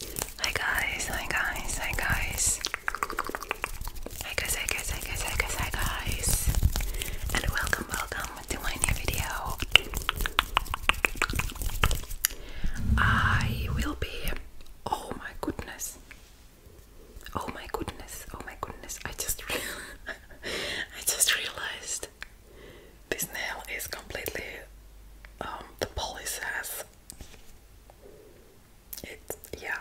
Hi guys, hi guys, hi guys. Hi guys, hi guys, hi guys, And welcome, welcome to my new video. I will be. Oh my goodness. Oh my goodness, oh my goodness. I just. I just realized this nail is completely. Um, the police has yeah.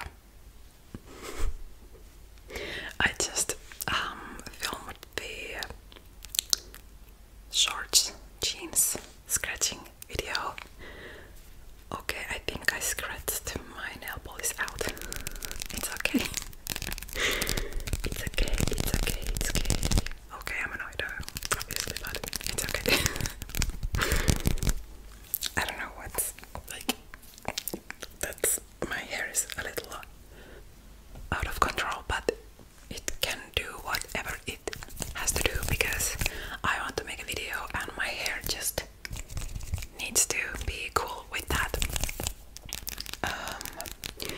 I just um filmed the shorts jeans scratching video. Okay, I think I scratched my nail polish out. It's okay. It's okay, it's okay, it's okay. Okay, I'm annoyed obviously, but it's okay. I don't know what's like. That's my hair is a little out of control, but it can do whatever it has to do because I want to make a video and my hair just needs to be cool with that. Um,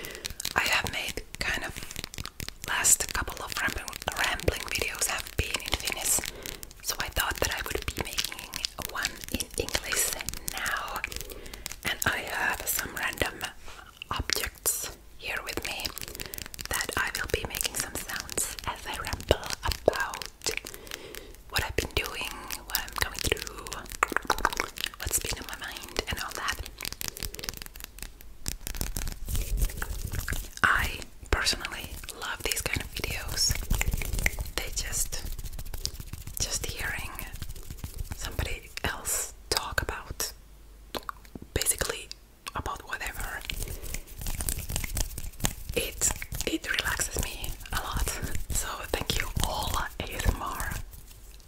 I have made kind of last couple of rambling, videos have been in Finnish, so I thought that I would be making one in English now. And I have some random objects here with me that I will be making some sounds as I ramble about what I've been doing, what I'm going through, what's been on my mind, and all that. I personally love these kind of videos. They just just hearing somebody else talk about basically about whatever it it relaxes me a lot. So thank you all ASMR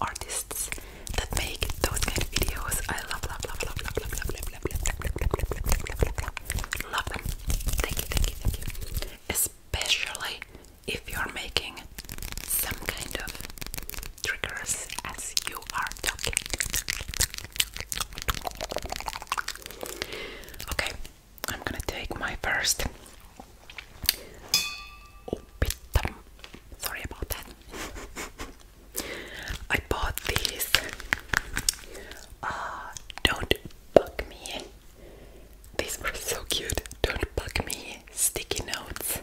artists that make those kind of videos. I love love love love love love love. love. Love them. Thank you, thank you, thank you. Especially if you are making some kind of triggers as you are talking. Okay, I'm gonna take my first. Oh, Sorry about that. I bought these. Uh, don't bug me. These were so cute. Don't bug me. Sticky notes.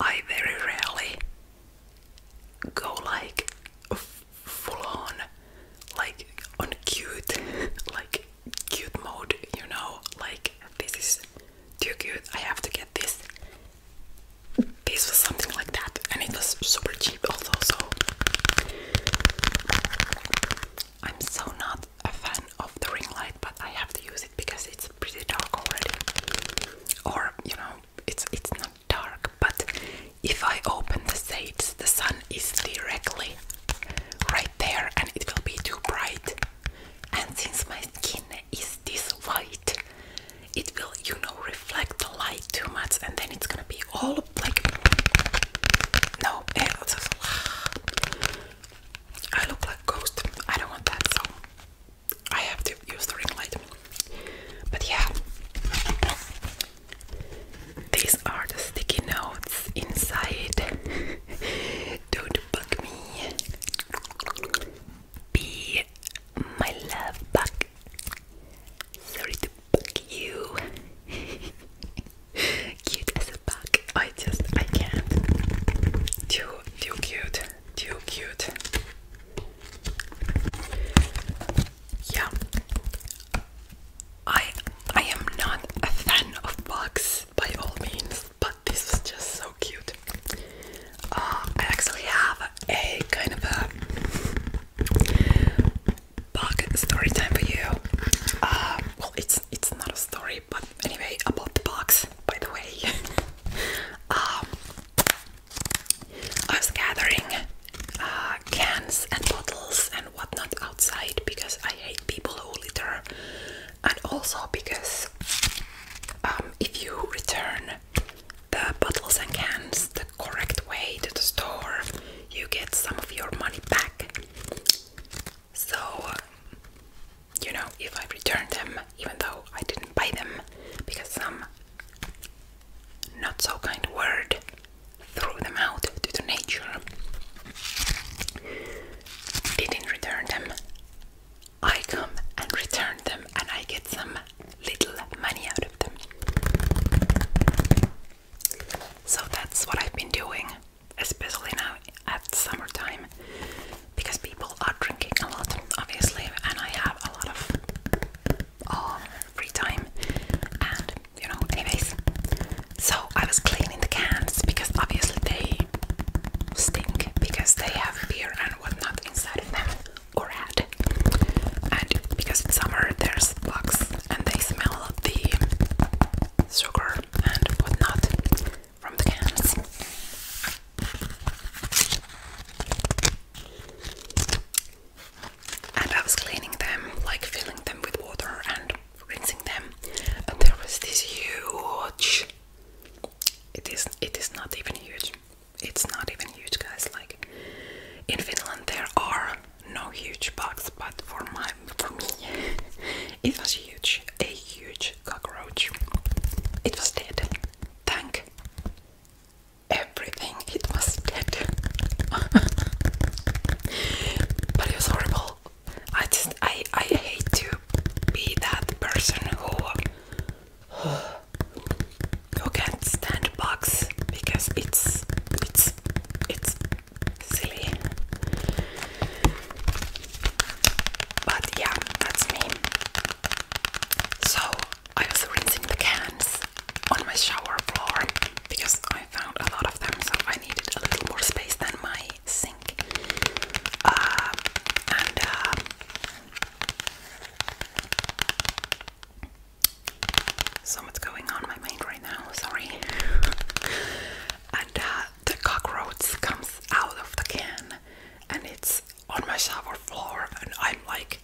I very rarely go like full on, like on cute, like cute mode, you know? Like, this is too cute. I have to get this this was something like that, and it was super cheap also. So I'm so not a fan of the ring light, but I have to use it because it's pretty dark already. Or you know, it's it's not dark, but if I open the shades, the sun is directly right there, and it will be too bright. And since my skin is this white it will you know reflect the light too much and then it's gonna be all like no eh, it's just, I look like a ghost I don't want that so I have to use the ring light but yeah these are the sticky notes inside don't bug me be my love bug Sorry to bug you. cute as a bug. I just I can't. Too too cute. Too cute. Yeah. I I am not a fan of bugs by all means, but this is just so cute. Um, I actually have a kind of a bug story time for you. Uh, well, it's it's not a story, but anyway, about the box. By the way, um, I was gathering uh, cans and bottles and whatnot outside because I hate people who litter, and also because um, if you return the bottles and cans the correct way to the store, you get some of your money back. So, you know, if I return them, even though I didn't buy them, because some not so kind word threw them out into the nature, didn't return them. I come and return them, and I get some little money out of them. So that's what I've been doing, especially now at summertime, because people are drinking a lot, obviously, and I have a lot of um, free time. And you know, anyways, so I was cleaning the cans because obviously they stink because they have beer and whatnot inside of them or had. And because it's summer, there's bugs and they smell the sugar and whatnot from the cans. And I was cleaning them, like filling them with water and rinsing them. And there was this huge. It is. It is not even huge it's not even huge, guys. Like in Finland, there are no huge bugs, but for my for me, it was huge, a huge cockroach. It was dead. Thank everything, it was dead. but it was horrible. I just I I hate to be that person who you can't stand bugs because it's it's it's silly. But yeah, that's me. So I was rinsing the cans on my shower floor because I found a lot of them, so I needed a little more space than my sink. Uh, and uh, so much going on my mind right now, sorry. and uh, the cockroach comes out of the can and it's on my shower floor and I'm like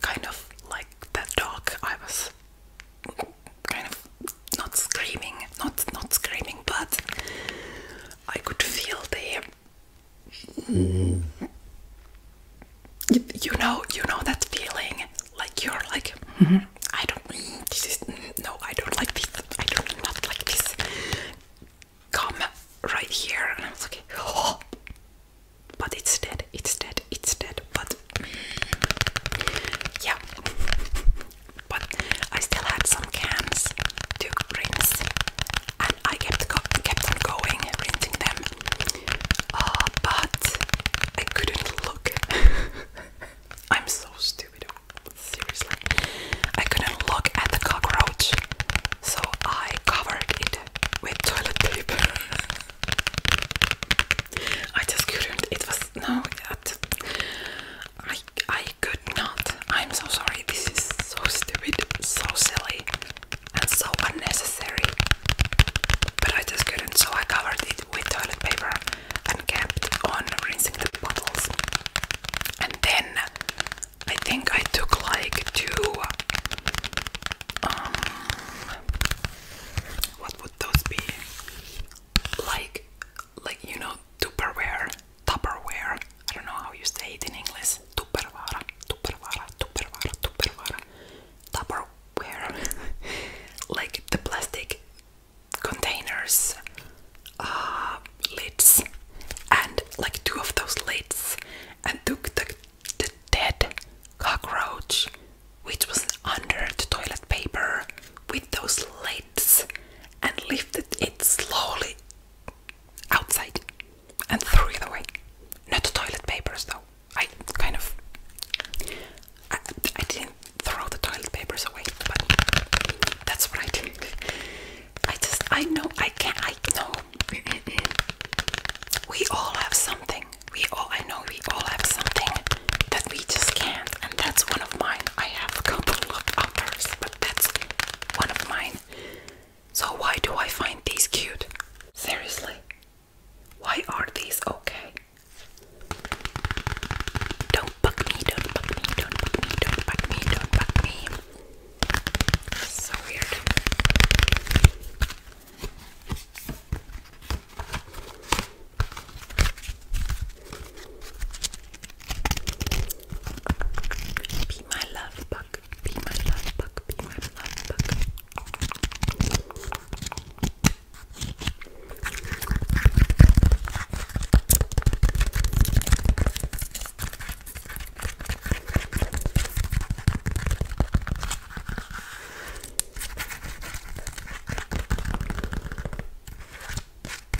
kind of like that dog I was kind of not screaming not not screaming but I could feel the you, know you know that feeling like you're like mm-hmm. I don't this is no I don't like this I don't like this come right here and I was like oh but it's dead it's dead it's dead but yeah but I still had some cans to rinse, and I kept kept on going, rinsing them. Uh, but I couldn't look. I'm so stupid. Seriously, I couldn't look at the cockroach, so I covered it with toilet paper. I just couldn't. It was no. That, I I could not. I'm so sorry, this is so stupid, so silly, and so unnecessary. But I just couldn't, so I covered it with toilet paper and kept on rinsing the bottles. And then I think I took like two. Um, what would those be? Like, like you know, Tupperware Tupperware. I don't know how you say it in English. Tupperware, Tupperware, Tupperware, Tupperware. Tupperware. like the plastic containers, uh, lids, and like two of those lids, and took the, the dead cockroach, which was under the toilet paper, with those lids and lifted it slowly outside and threw it away. Not the toilet papers though. I kind of I, I didn't throw the toilet papers away, but that's what I did. I just I know I can't I know we all have something. We all I know we all have something that we just can't and that's one of mine. I have a couple of others, but that's one of mine. So, why do I find these cute? Seriously, why are these okay? Don't bug me, don't bug me, don't bug me, don't bug me, don't bug me. So weird. Be my love bug, be my love bug, be my love bug.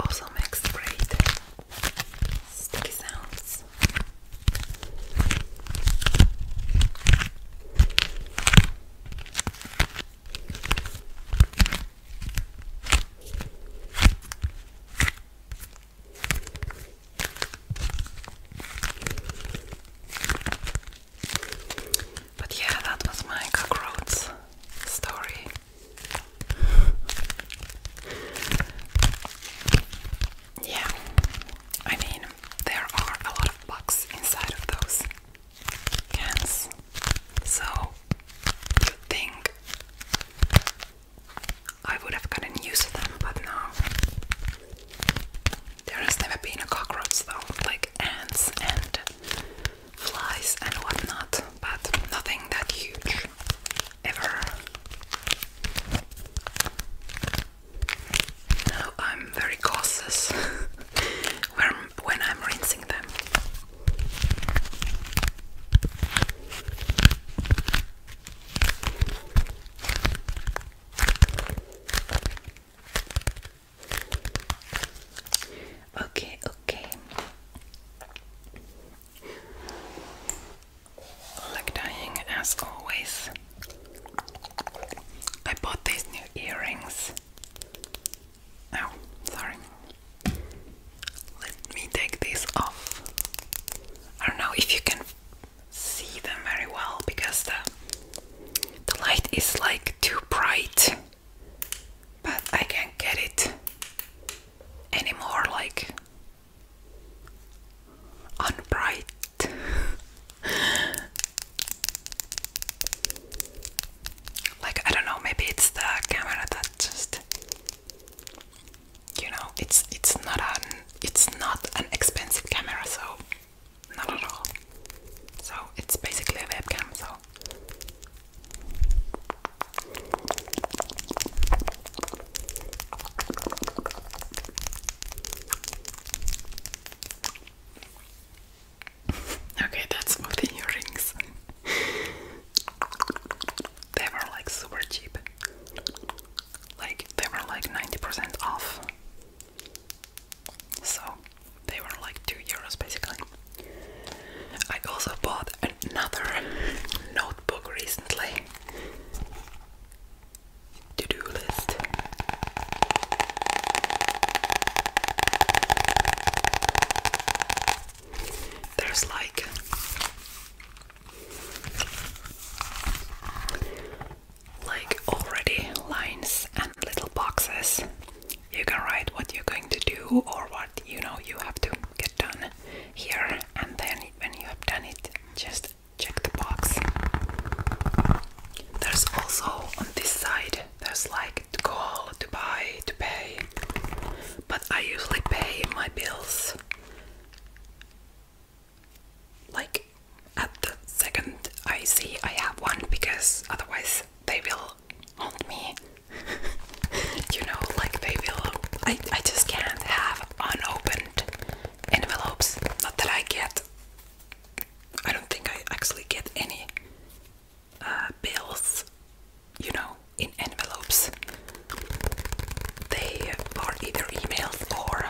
Also makes great sticky sounds. But yeah, that was my cockroach story yeah, I mean, there are a lot of bugs inside of those cans, so you think I would have gotten use of them, but no. There has never been a cockroach though, like ants and flies and whatnot, but nothing that huge ever. Now I'm very cautious when, when I'm rinsing them. Okay, okay. Like dying as always. I bought these new earrings. Oh, sorry. Let me take these off. I don't know if you can see them very well because the the light is like too bright but I can't get it anymore like unbright. like I don't know, maybe it's the camera that just you know, it's it's not an it's not an expensive camera so not at all. So it's basically a webcam so okay, that's about the earrings. they were like super cheap. Like they were like 90% off. So they were like 2 euros basically. I also bought another notebook recently. To-do list. There's like like already lines and little boxes you can write what you're going to do or what you know you have to get done here, and then when you have done it, just check the box. There's also on this side, there's like to call, to buy, to pay, but I usually pay my bills like at the second I see I have one because otherwise they will haunt me. you know, like they will. I, I just can't have unopened envelopes. Not that I get. I don't think I actually get any uh, bills, you know, in envelopes. They are either email or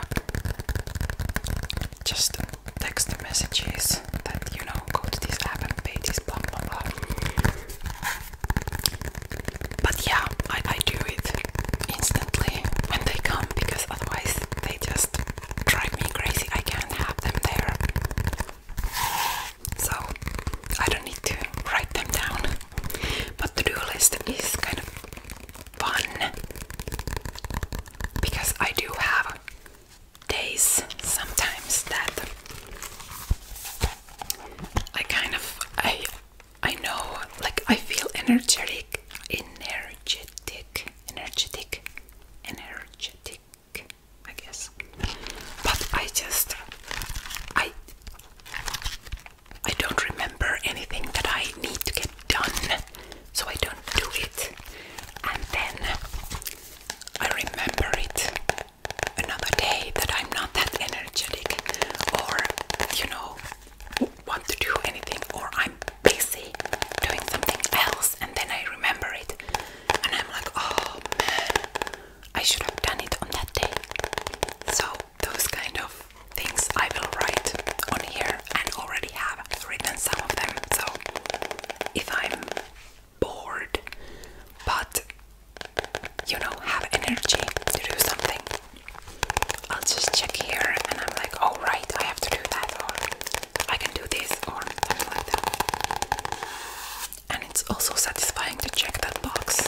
just text messages that, you know, go to this app and pay this blah blah blah. But yeah, I, do it instantly when they come because otherwise they just drive me crazy. I can't have them there. So I don't need to write them down. But to do list is kind of fun because I do have days sometimes that I kind of I I know like I feel energetic energetic energetic energetic I guess but I just I I don't remember anything that I need to get done so I don't do it and then I remember it another day that I'm not that energetic or, you know, want to do anything or I'm busy doing something else and then I remember it and I'm like, oh man, I should have done it on that day. So, those kind of things I will write on here and already have written some of them. So, if I'm bored, but you know, have energy to do something. I'll just check here and I'm like, oh, right, I have to do that, or I can do this, or And it's also satisfying to check that box.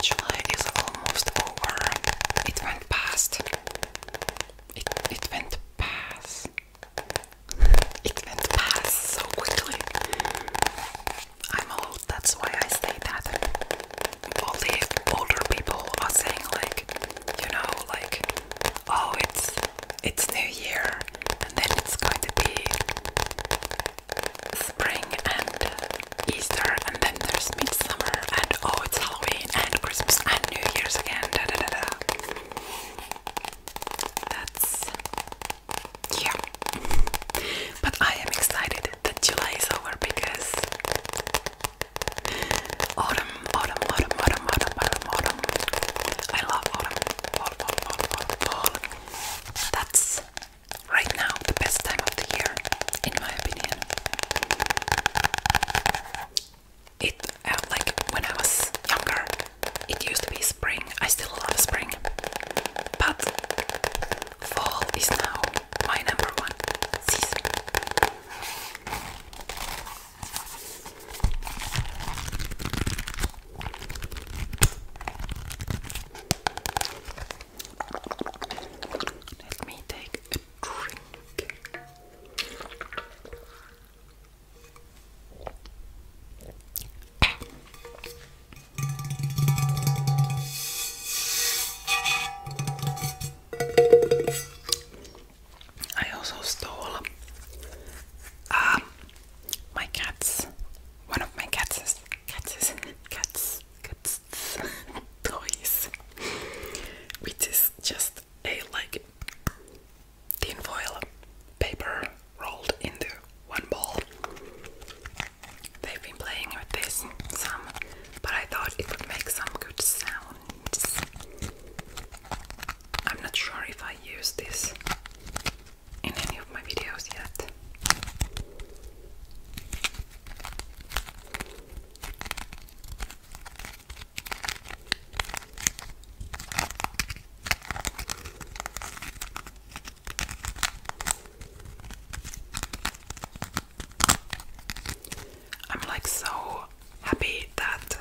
July is almost over. It went past. It it went past. It went past so quickly. I'm old, that's why I say that. All the older people are saying like, you know, like, oh, it's it's New Year, and then it's going to be spring and Easter, and then there's midsummer, and oh, it's Halloween and Christmas and New Year's again. Da, da, da, da. That's yeah, but I am excited that July is over because autumn, autumn, autumn, autumn, autumn, autumn, autumn. I love autumn, fall, fall, fall, fall, fall. That's right now the best time of the year, in my opinion. It uh, like when I was younger, it used to be spring. I still love spring, but fall is now my number one season. Let me take a drink. I also stole um, my cats. One of my cats cats cats cats toys, which is just a like tin foil paper rolled into one ball. They've been playing with this some, but I thought it would make some good sounds. I'm not sure if I use this in any of my videos yet. I'm like so happy that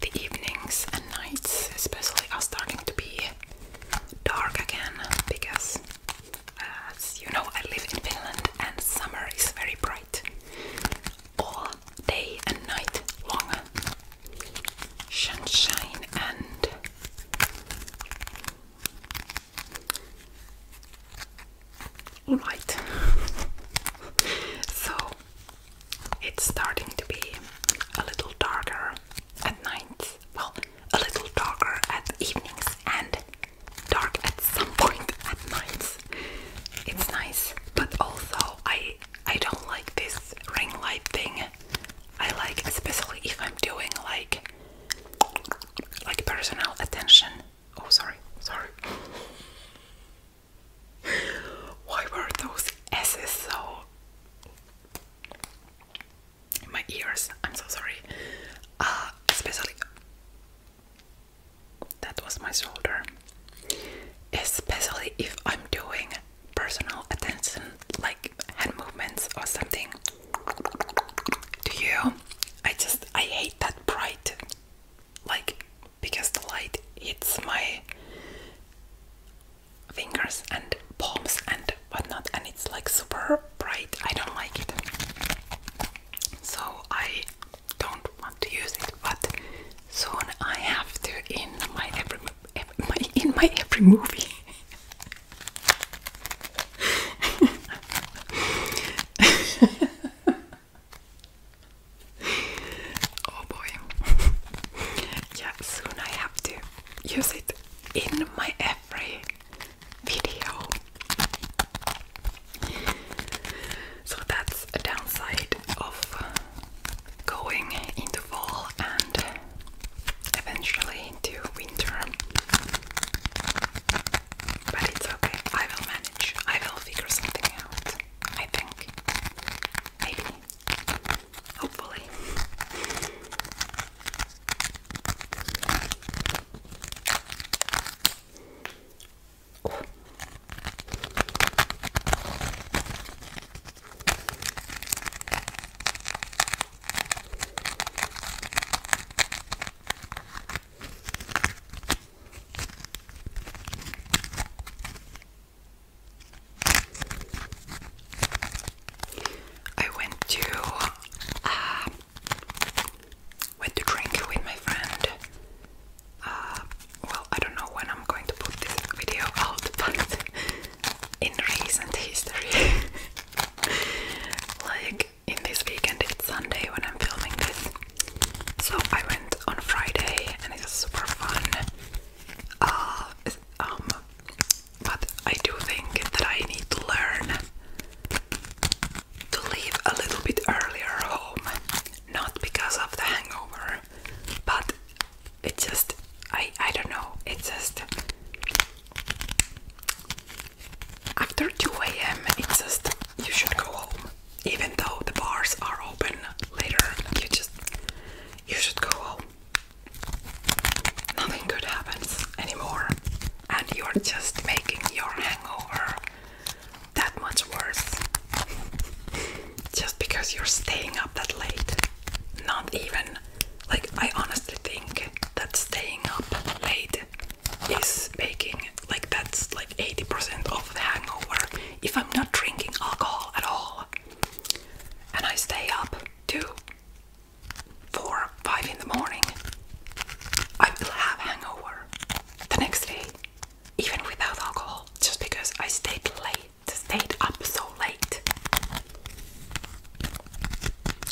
the evenings and nights, especially, are starting to be dark again because as you know, I live in Finland and summer is very bright all day and night long. Sunshine and light. so it's starting to be a little darker at night. Well, a little darker at evenings and dark at some point at night. It's nice, but also I I don't like this ring light thing. I like especially if I'm doing like like personal attention. Oh sorry, sorry. Why were those S's so my ears. I'm so sorry. Ah, especially that was my shoulder. Especially if I'm doing personal attention, like hand movements or something. Do you? I just I hate that bright, like because the light hits my fingers and palms and but not and it's like super bright I don't like it so I don't want to use it but soon I have to in my every, in my every movie oh boy yeah soon I have to use it in my every video. So that's a downside of going into fall and eventually into winter. But it's okay, I will manage. I will figure something out, I think. Maybe. Hopefully. Oh. I went to uh, went to drink with my friend. Uh, well, I don't know when I'm going to put this video out, but in recent history, like in this weekend, it's Sunday when I'm filming this. So I went on Friday and it was super fun. Uh, um, but I do think that I need to learn to leave a little bit earlier home, not because of the hangover, but it just I I don't know. It just after 2 a.m. It just you should go home, even though the bars are open later. You just you should go home. Nothing good happens anymore and you're just making your hangover that much worse just because you're staying up that late. Not even like I honestly think that staying up late is making like that's like 80% of the hangover if I'm not drinking alcohol at all and I stay up too four, five in the morning, I will have hangover the next day, even without alcohol, just because I stayed late, stayed up so late.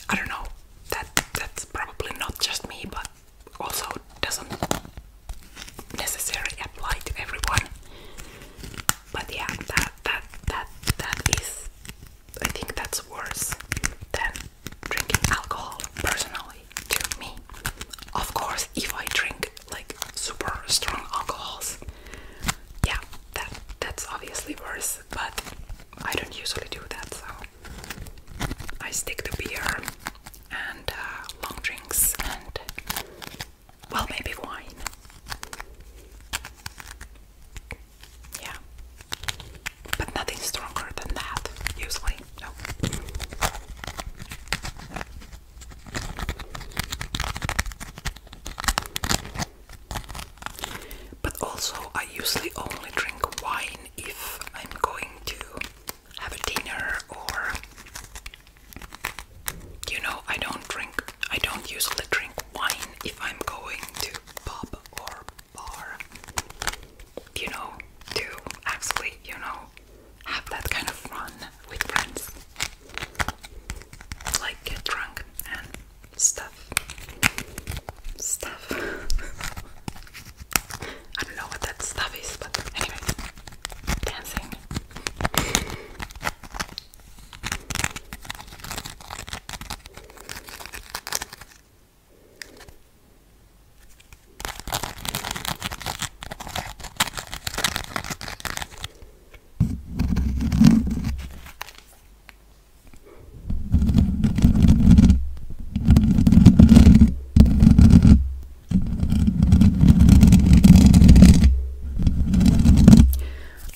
I don't know. That that's probably not just me, but also doesn't necessarily apply to everyone. But yeah, that that that that is. I think that's worse than drinking alcohol personally to me. Of course, if I drink like super strong alcohols, yeah, that that's obviously worse, but I don't usually do that, so I stick to beer and uh, long drinks and well, maybe wine. Yeah. But nothing stronger than that, usually. No. But also, I usually only drink wine if I'm going to have a dinner or you know, I don't drink, I don't usually drink wine if I'm going to pub or bar you know, to actually, you know, have that kind of fun with friends. Like get drunk and stuff. Stuff. I don't know what that stuff is, but anyway, dancing.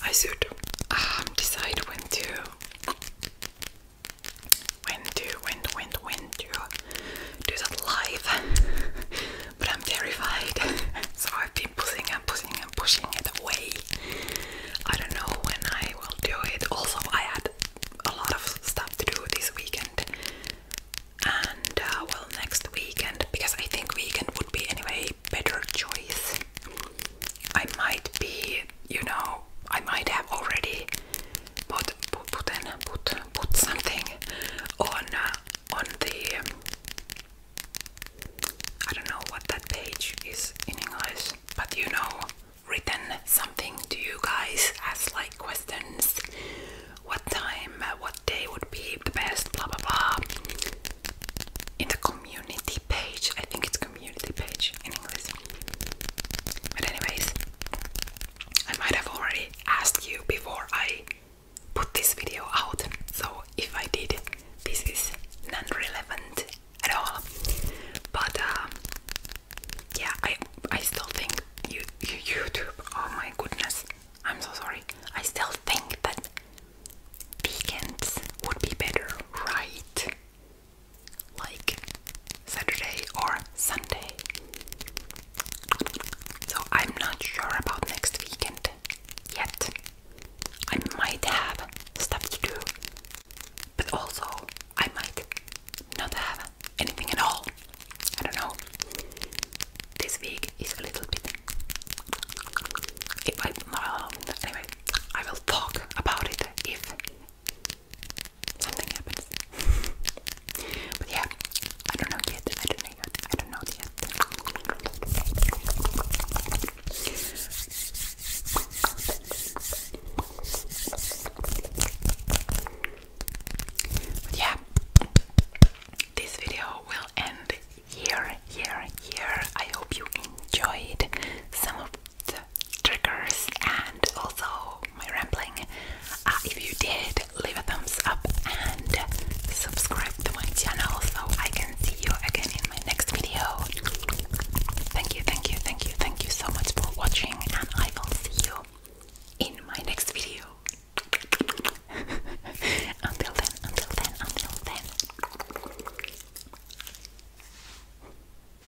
I should um, decide when to when to when when when to do that live but I'm terrified so I've been pushing and pushing and pushing it away I don't know when I will do it also I had a lot of stuff to do this weekend and uh, well next weekend because I think weekend would be anyway better choice I might be, you know, I might have already put put put, put, put something on uh, on the um, I don't know what that page is in English, but you know, written something Do you guys ask like questions. What time, uh, what day would be the best? Blah blah blah. In the community page, I think it's community page in English. But anyways, I might have already asked you before I put this video out. So if I did, this is non-relevant at all. But um, yeah, I I still think YouTube. Oh my goodness, I'm so sorry. I still think that weekends would be better, right? like Saturday or Sunday. So I'm not sure about next weekend yet. I might have stuff to do, but also I might not have anything at all. I don't know. This week is a little bit. If I, well, anyway, I will talk about it if something happens. but yeah, I don't know yet. I don't know yet. I don't know yet. yeah, this video will end here, here, here. I hope you enjoyed some of the triggers and also my rambling. Uh, if you did, leave a thumbs up and subscribe to my channel so I can see you again in my next video. Thank you, thank you, thank you, thank you so much for watching, and I will see you in my next video. until then, until then, until then.